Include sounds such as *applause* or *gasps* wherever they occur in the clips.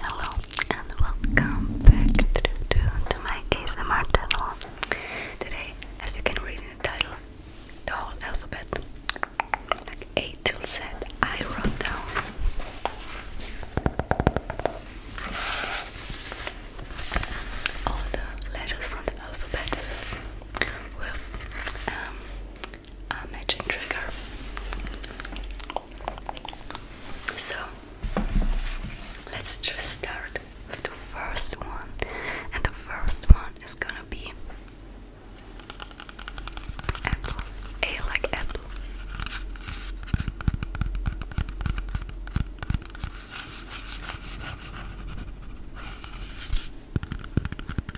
Hello and welcome back to, to, to my ASMR channel. Today, as you can read in the title, the whole alphabet, like A till Z, I wrote down. All the letters from the alphabet with um, uh, matching trigger. So let's just start with the first one, and the first one is gonna be apple. A like apple.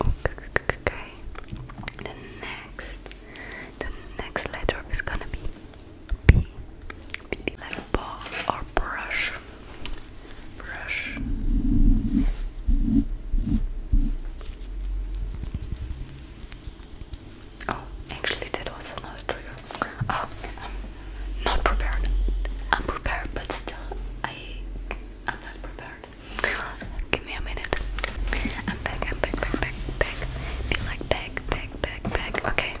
Okay. The next, the next letter is gonna be B. B like ball or brush. Brush. Oh, actually, that was another trigger. Oh, I'm not prepared. I'm prepared, but still, I, I'm not prepared. Give me a minute. I'm back, I'm back, back, back, back. Be like back, back, back, back. Okay.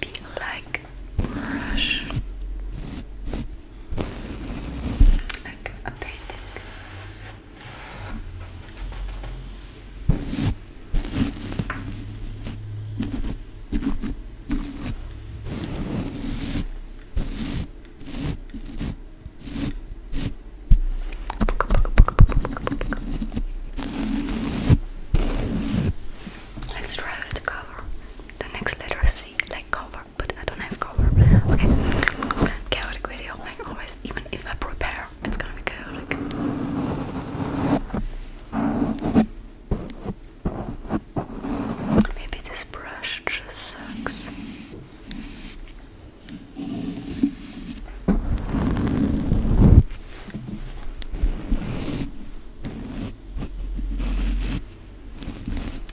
Be like brush. Like a painting. Let's try it to cover. The next letter C, like cover, but I don't have cover. Okay, chaotic video, like always, even if I prepare, it's gonna be chaotic. Maybe this brush just sucks.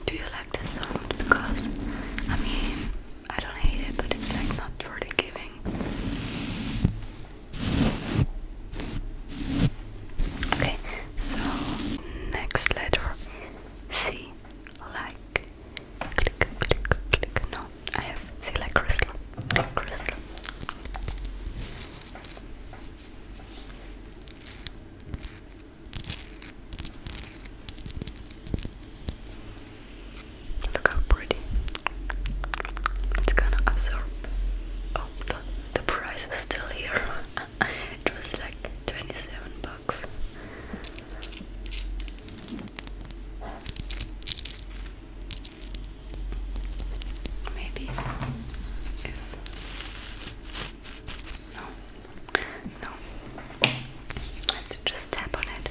Do you like this sound? Because I mean, I don't hate it, but it's like not really giving. Okay, so next letter see like click click click no I have see like crystal crystal Look how pretty. It's gonna absorb. Oh, the, the price is still here. *laughs* it was like 27 bucks. Maybe no, no, let's just tap on it.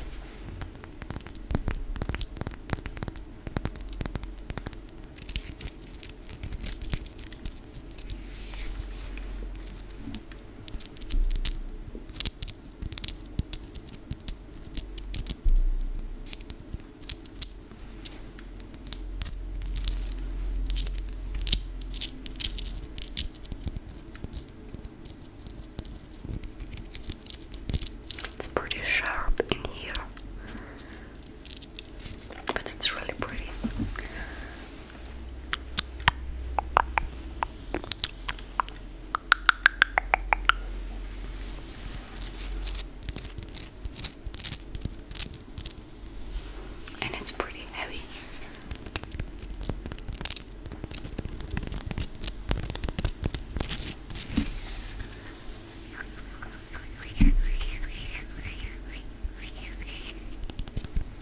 It's pretty sharp in here but it's really pretty. And it's pretty heavy.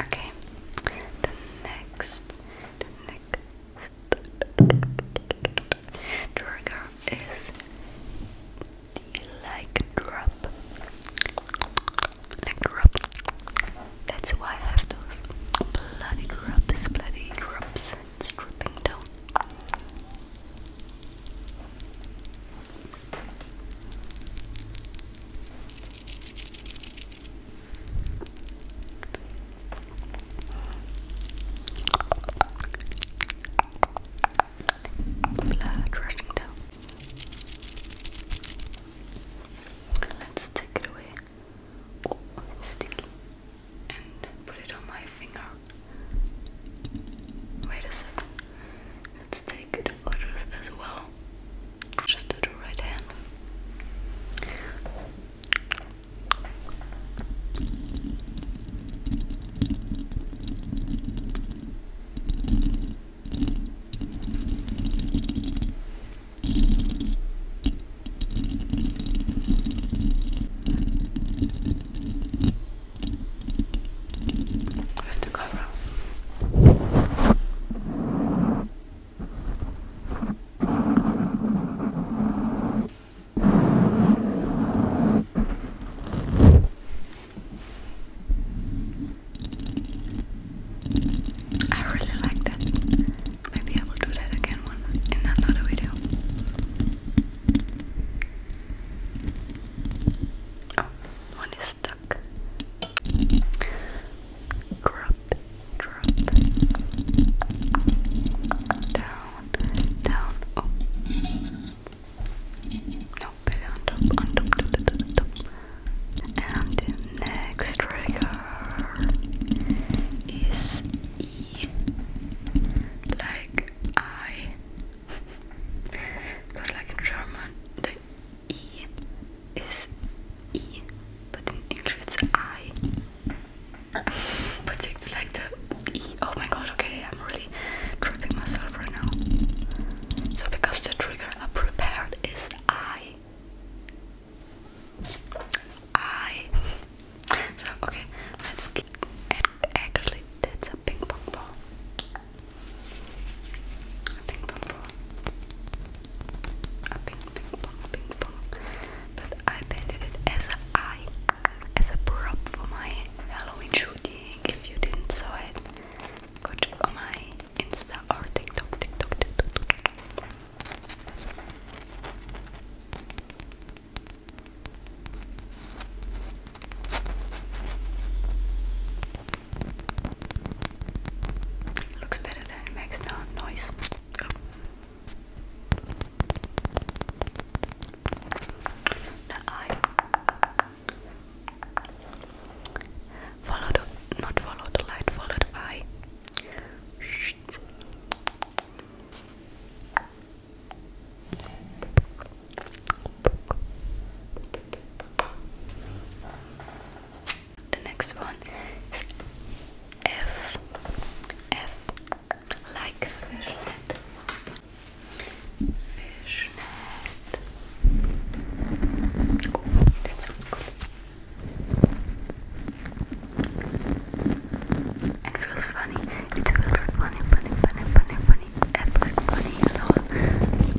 Okay, the next, trigger is the leg drop. Leg drop. That's why I have those bloody drops, bloody drops. dripping down. Blood rushing down. Let's take it away. Oh, sticky. And put it on my finger. Wait a second. Let's take it right as well. Just do the right hand. I really like that. Maybe I will do that again one in another video. Oh, one is stuck. Drop, Down, down, oh. No, belly on top, on top, top, top, And the next trigger is E. Like I. Because, *laughs* like in German, E is E, but in English it's I. but it's like the E. Oh my god, okay, I'm really tripping myself right now. So, because the trigger I prepared is I. I. So, okay, let's get. actually, that's a ping pong ball. A ping pong ball. A ping ping pong ping pong. But I painted it as an eye, as a prop for my Halloween shooting. If you didn't saw it, go check my Insta or TikTok, TikTok. TikTok. Looks better than it makes no noise. The eye. Follow not follow the light, follow the eye. The next one is F. F like fishnet. Fishnet. Oh, that sounds good. It feels funny. It feels funny, funny, funny, funny, funny. F like funny, you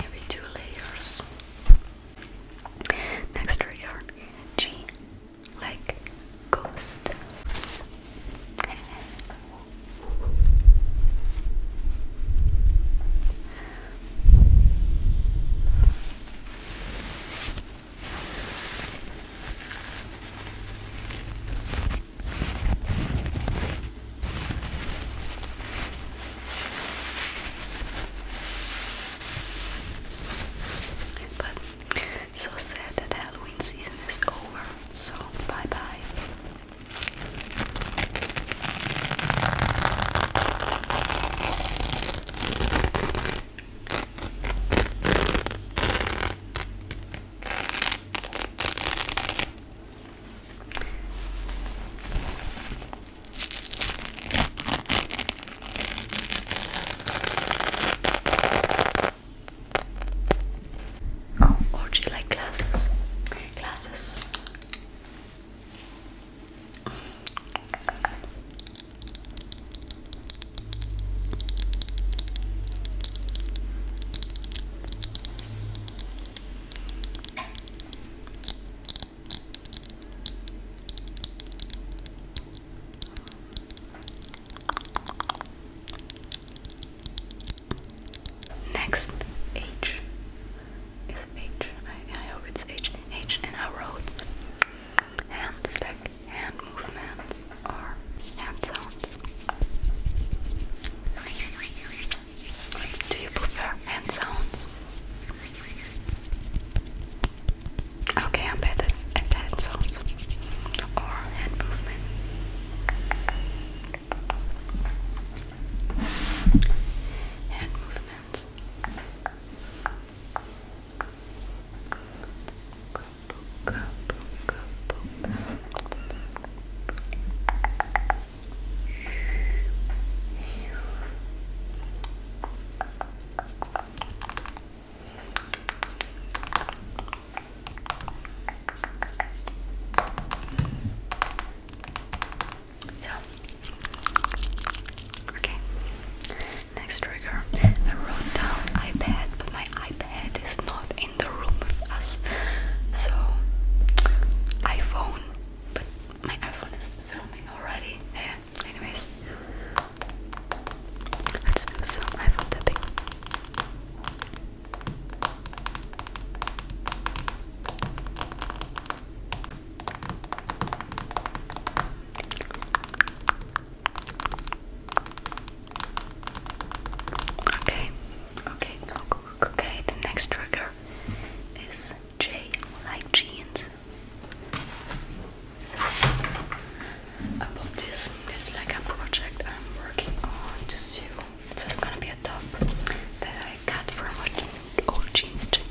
Maybe two layers. Next trigger G like ghosts. But so sad that Halloween season is over. So, bye bye. Oh, do you like glasses? Glasses. Next H is H. I, I hope it's H. H and I wrote hand hand movements, are hand sounds. Do you prefer hand sounds? Okay, I'm bad at hand sounds or hand movement. Hand movements. Good. So, okay. Next trigger. I wrote down iPad, but my iPad is not in the room with us. So, iPhone, but my iPhone is filming already. Yeah anyways. Let's do some iPhone Okay, okay, okay, the next trigger is J like jeans. So, this, it's like a project I'm working on to sew. It's gonna be a top that I cut from an old jeans jacket.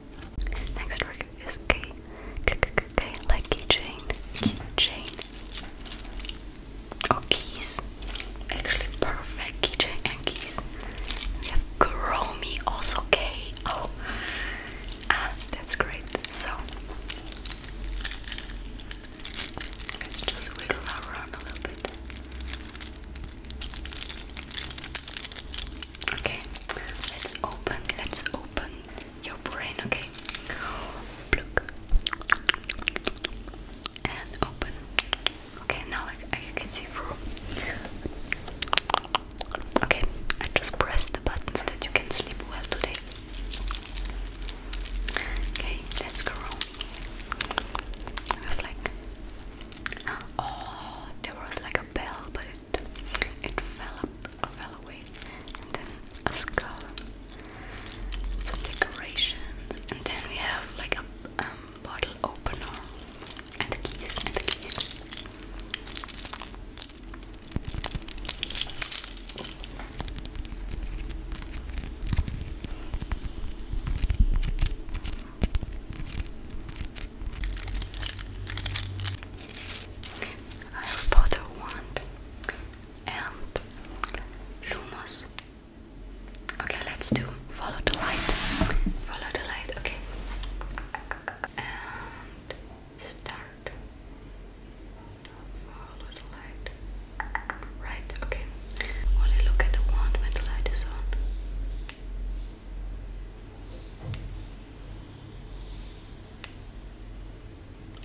Next word is K. K, K, K, K like keychain. Keychain. oh, keys. Actually, perfect keychain and keys. We have Kuromi, also K. Oh, ah, that's great. So, let's just wiggle around a little bit. Okay, let's open, let's open your brain, okay? Pluck. And open. Okay, now I, I can see through. Okay, I just press the buttons that you can sleep well today. Okay, let's go wrong. I have like. *gasps* Oh, there was like a bell, but it fell up, fell away, and then a skull, some decorations, and then we have like a um, bottle opener and the keys and the keys. I have Powder Wand and Lumos. Okay, let's do follow the light. Follow the light, okay. And start. Follow the light. Right, okay. Only look at the wand when the light is on.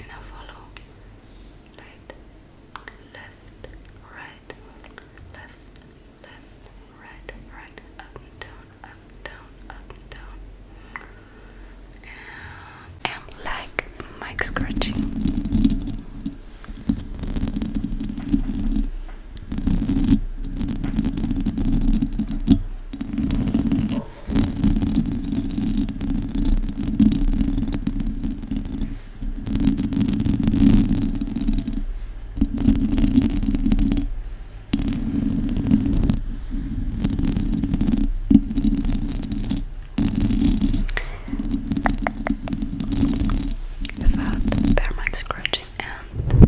Now follow right, left, right, left, left, right, right, up and down, up and down, up and down. And like mic scratching. Oh. Without permanent scratching and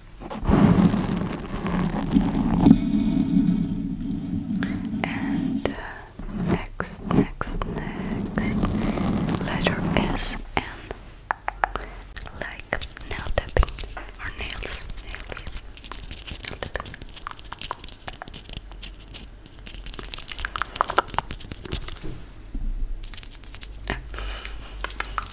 And uh, next, next, next letter is N. Like nail tapping or nails, nails, tapping. Ah.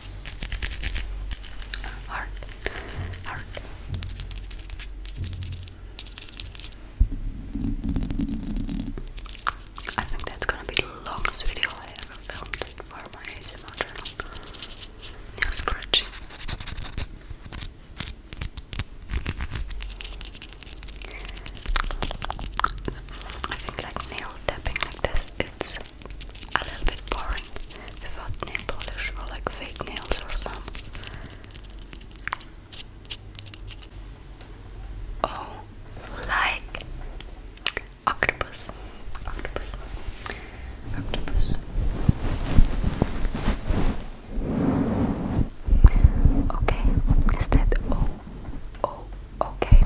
I think that's gonna be the longest video I ever filmed for my ASMR channel. Nail scratching. I think like nail tapping like this, it's a little bit boring without nail polish like fake nails or some. Oh, like octopus, octopus, octopus. Okay, is that all? Oh, okay.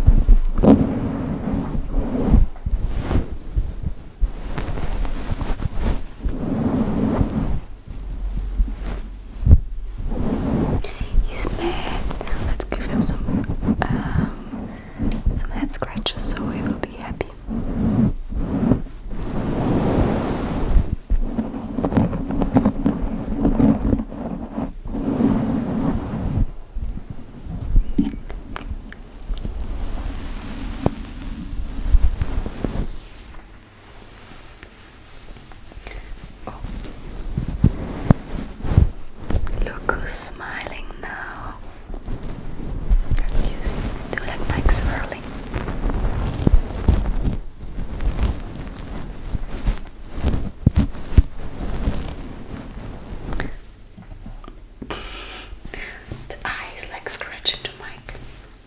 He's mad. Let's give him some um, some head scratches so he will be happy. Oh. Look who's smiling now. Let's use it. Do like Mike the eyes like scratching the mic.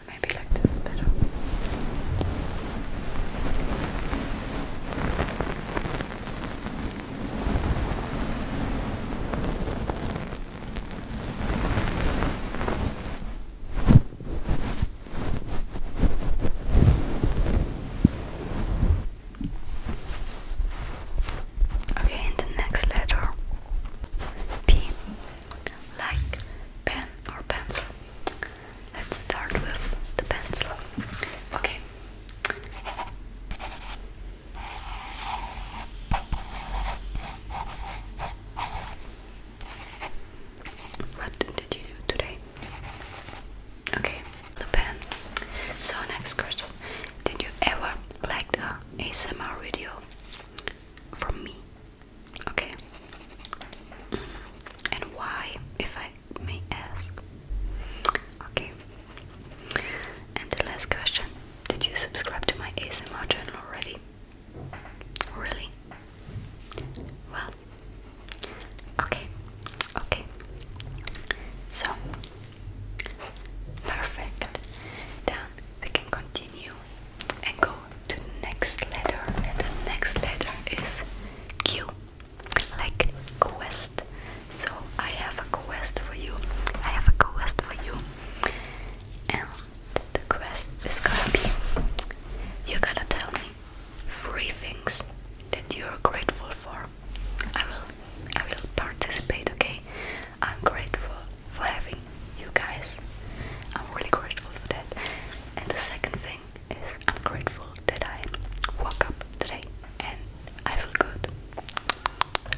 Maybe like this better. Okay, in the next letter P, like pen or pencil. Let's start with the pencil. Okay. What did you do today? Okay, the pen. So next question: Did you ever like the ASMR video from me. Okay. Mm. And why, if I may ask? Okay. And the last question Did you subscribe to my ASMR channel already? Really? Well, okay, okay. So, Perfect. Then we can continue and go to the next letter. the next letter is Q, like quest. So I have a quest for you. I have a quest for you. And the quest is gonna be you gotta tell me three things that you're grateful for. I will I will participate, okay? I'm grateful for having you guys. I'm really grateful for that. And the second thing is I'm grateful that I woke up today and I feel good.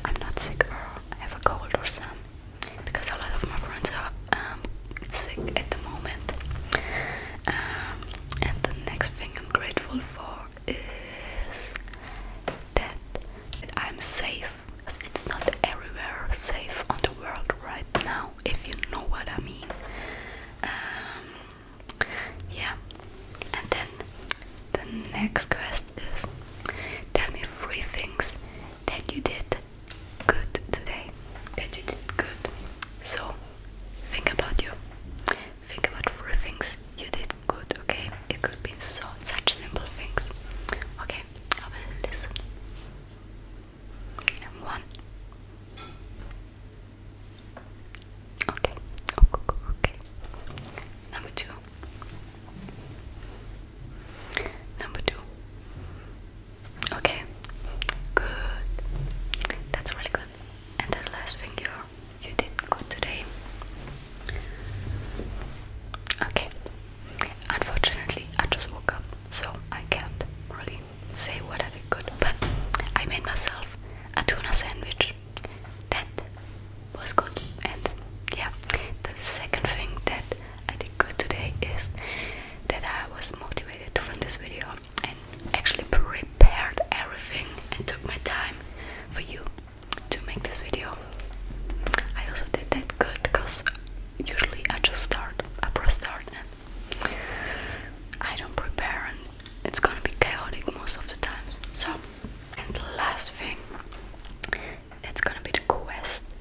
I'm not sick or have a cold or some because a lot of my friends are um, sick at the moment. Um, and the next thing I'm grateful for is that, I'm safe. It's not everywhere safe on the world right now, if you know what I mean. Um, yeah, and then the next quest is tell me three things that you did good today. That you did good. So think about you. Think about three things you did good, okay? It could be so such simple things. Okay, I will listen. And one. Okay, oh, okay. Number two. Number two. Okay, good. That's really good. And the last thing you're you did good today. Okay. Unfortunately, I just woke up, so I can't really say what I did good. But I made myself a tuna sandwich. That was good. And yeah, the second thing that I did good today is that I was motivated to film this video and actually prepared everything and took my time for you to make this video. I also did that good because usually I just start, I press start and I don't prepare and it's gonna be chaotic most of the times. So, and the last thing, it's gonna be the quest.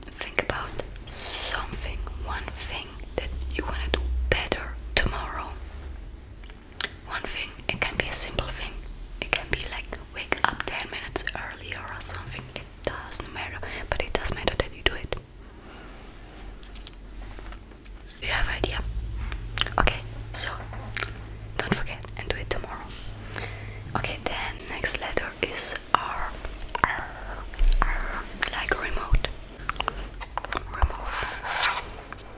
Think about something, one thing that you wanna do better tomorrow one thing, it can be a simple thing. It can be like wake up 10 minutes earlier or something. It doesn't matter, but it does matter that you do it. You have idea? Okay, so don't forget and do it tomorrow. Okay, then next letter is R. R. R. Like remote.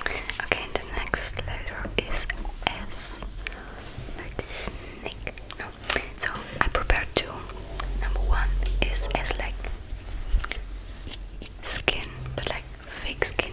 Okay, the next letter is S. Like snake. So I prepared two. Number one is S like skin, but like fake skin.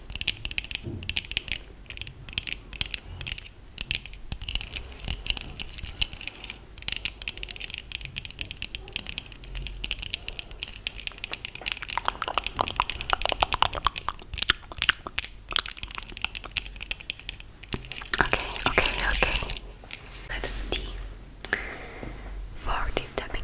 Okay, okay, okay. Letter D for deep tapping.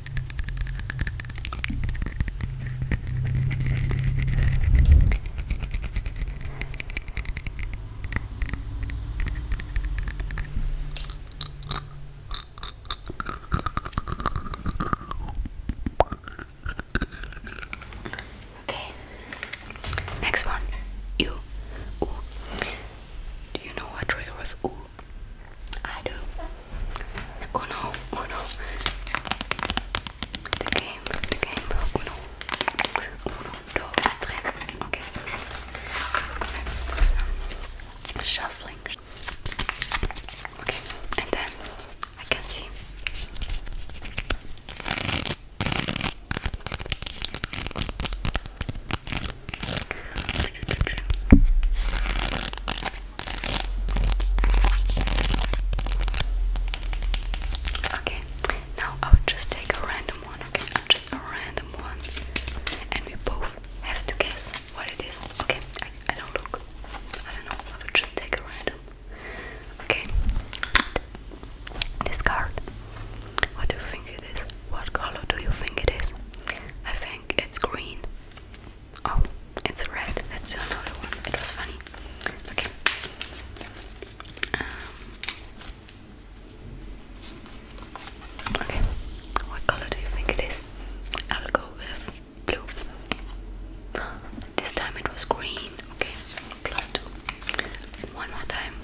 Okay. Next one. You. Do you know what trigger with I do. Uno, uno. The game, the game. Uno, uno, dos, tres. Okay. Let's do some shuffling. Okay, and then I can see. Okay, now I would just take a random one, okay? Just a random one. And we both have to guess what it is. Okay, I, don't look. I don't know. I would just take a random. Okay. This card. What do you think it is? What color do you think it is? I think it's green. Oh, it's red. That's another one. It was funny. Okay. Um, okay. What color do you think it is? I'll go with blue. This time it was green. Okay. Plus two. one more time.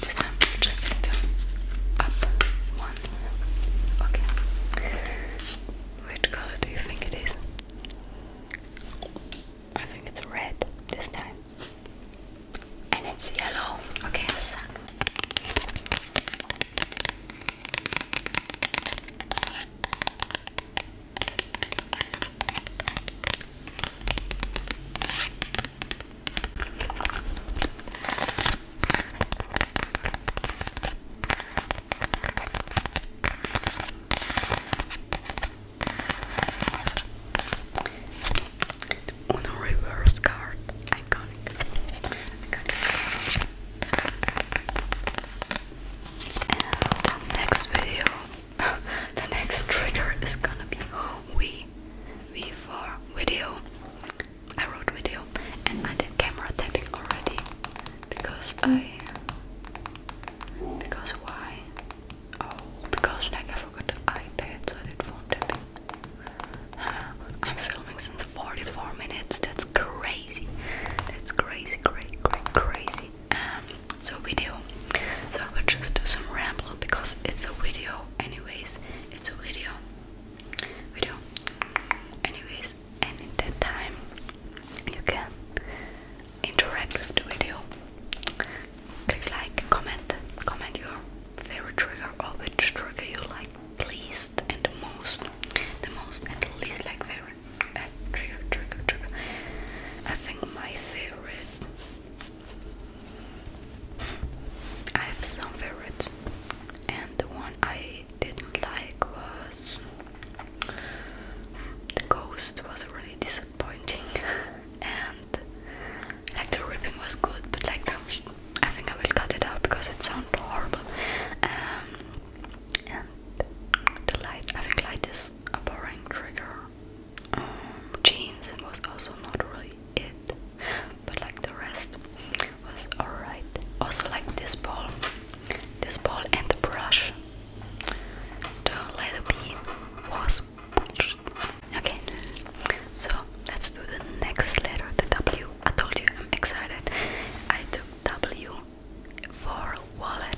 This time just up one. Okay. Which color do you think it is? I think it's red this time. And it's yellow. Okay, I suck. On a reverse card, iconic. And the next video, *laughs* the next trigger is gonna be we V for video. I wrote video and I did camera tapping already because I because why? Oh, because like I forgot the iPad, so I did phone tapping. *sighs* I'm filming since 44 minutes. That's crazy. That's crazy, crazy, great, crazy. Um, so video. So I will just do some ramble because it's a video, anyways it's a video video anyways and in that time you can interact with the video click like comment comment your favorite trigger or which trigger you like least and most the most and least like favorite uh, trigger trigger trigger I think my favorite I have some favorites, and the one I didn't like was the ghost was really disappointing, *laughs* and like the ripping was good, but like I think I will cut it out because it sounds horrible. Um, and the light, I think light is a boring trigger. Um, jeans was also not really it but like the rest was alright. Also, like this ball, this ball and the brush. The letter B was pushed. Okay, so let's do the next letter, the W. I told you I'm excited. I took W for wallet,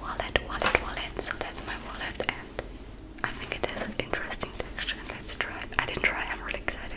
wallet, wallet, wallet. So that's my wallet and I think it has an interesting texture. Let's try it. I didn't try, I'm really excited.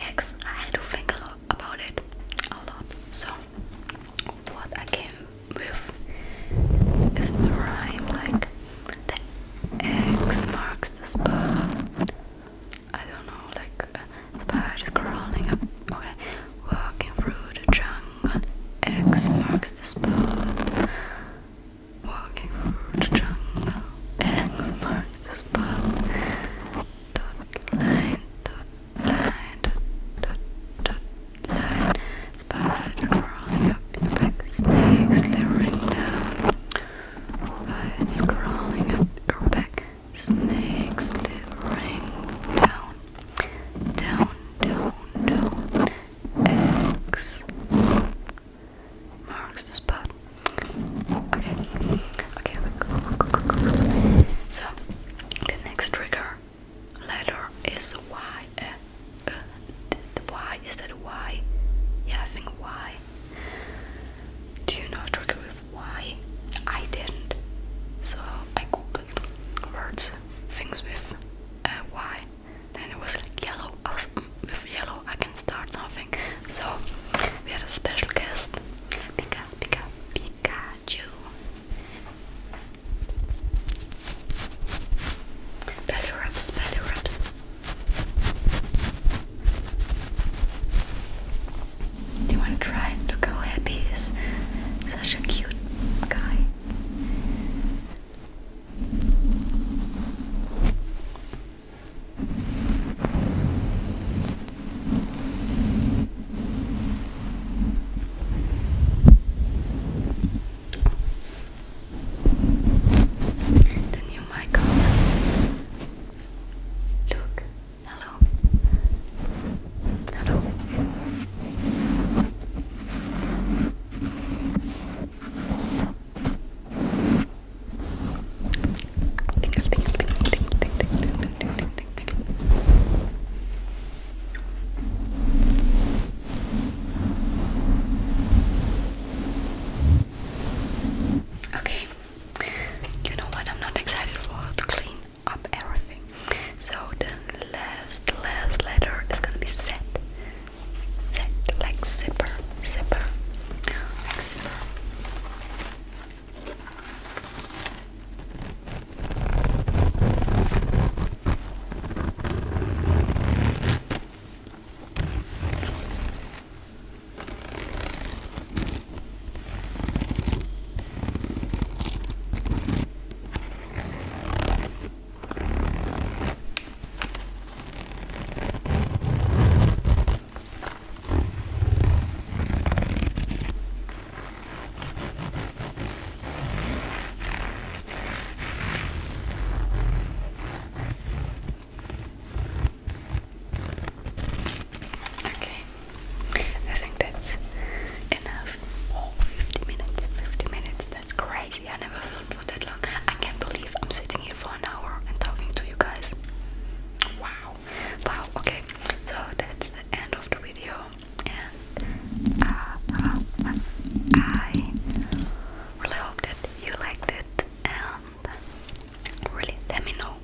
Next, had to think a lot about it a lot. So, what I came with is the rhyme like the X marks the spot. I don't know, like uh, the crawling up, okay, walking through the jungle. X marks the spot. Walking through the jungle, X marks the spot. Dot line, dot line, dot dot dot line. Spiders crawling up your back, snakes slithering down. Spiders crawling up your back, snakes slithering down down, down, down. X marks the spot. Okay, okay, So the next trigger letter is Y. Uh, uh, the, Y is that Y? Yeah, I think Y. Do you know trigger with Y? I didn't. So I words, things with Y. Then it was like yellow. I was, mm, with yellow, I can start something. So we have a special guest, Pika, Pika, Pikachu. Belly rubs, belly rubs. Do you want to try? Look how happy he is. Such a cute guy. The new mic on. Look, hello. Hello. Tingle, tingle, tingle, tingle, tingle, tingle, tingle, tingle, tingle. Okay, you know what? I'm not excited for to clean up everything. So the last, last letter is gonna be set, set like zipper, zipper, zipper. Okay, I think that's enough have minutes 50 minutes that's crazy I never filmed for that long I can't believe I'm sitting here for an hour and talking to you guys wow wow okay so that's the end of the video and uh, I really hope that you liked it and really let me know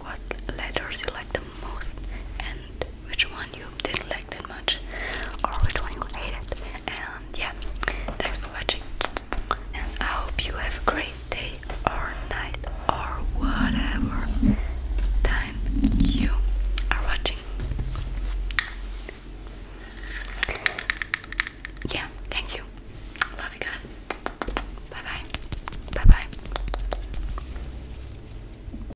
what letters you like the most and which one you didn't like that much or which one you hated. And yeah, thanks for watching. And I hope you have a great day or night or whatever time you are watching. Yeah, thank you. Love you guys. Bye bye. Bye bye.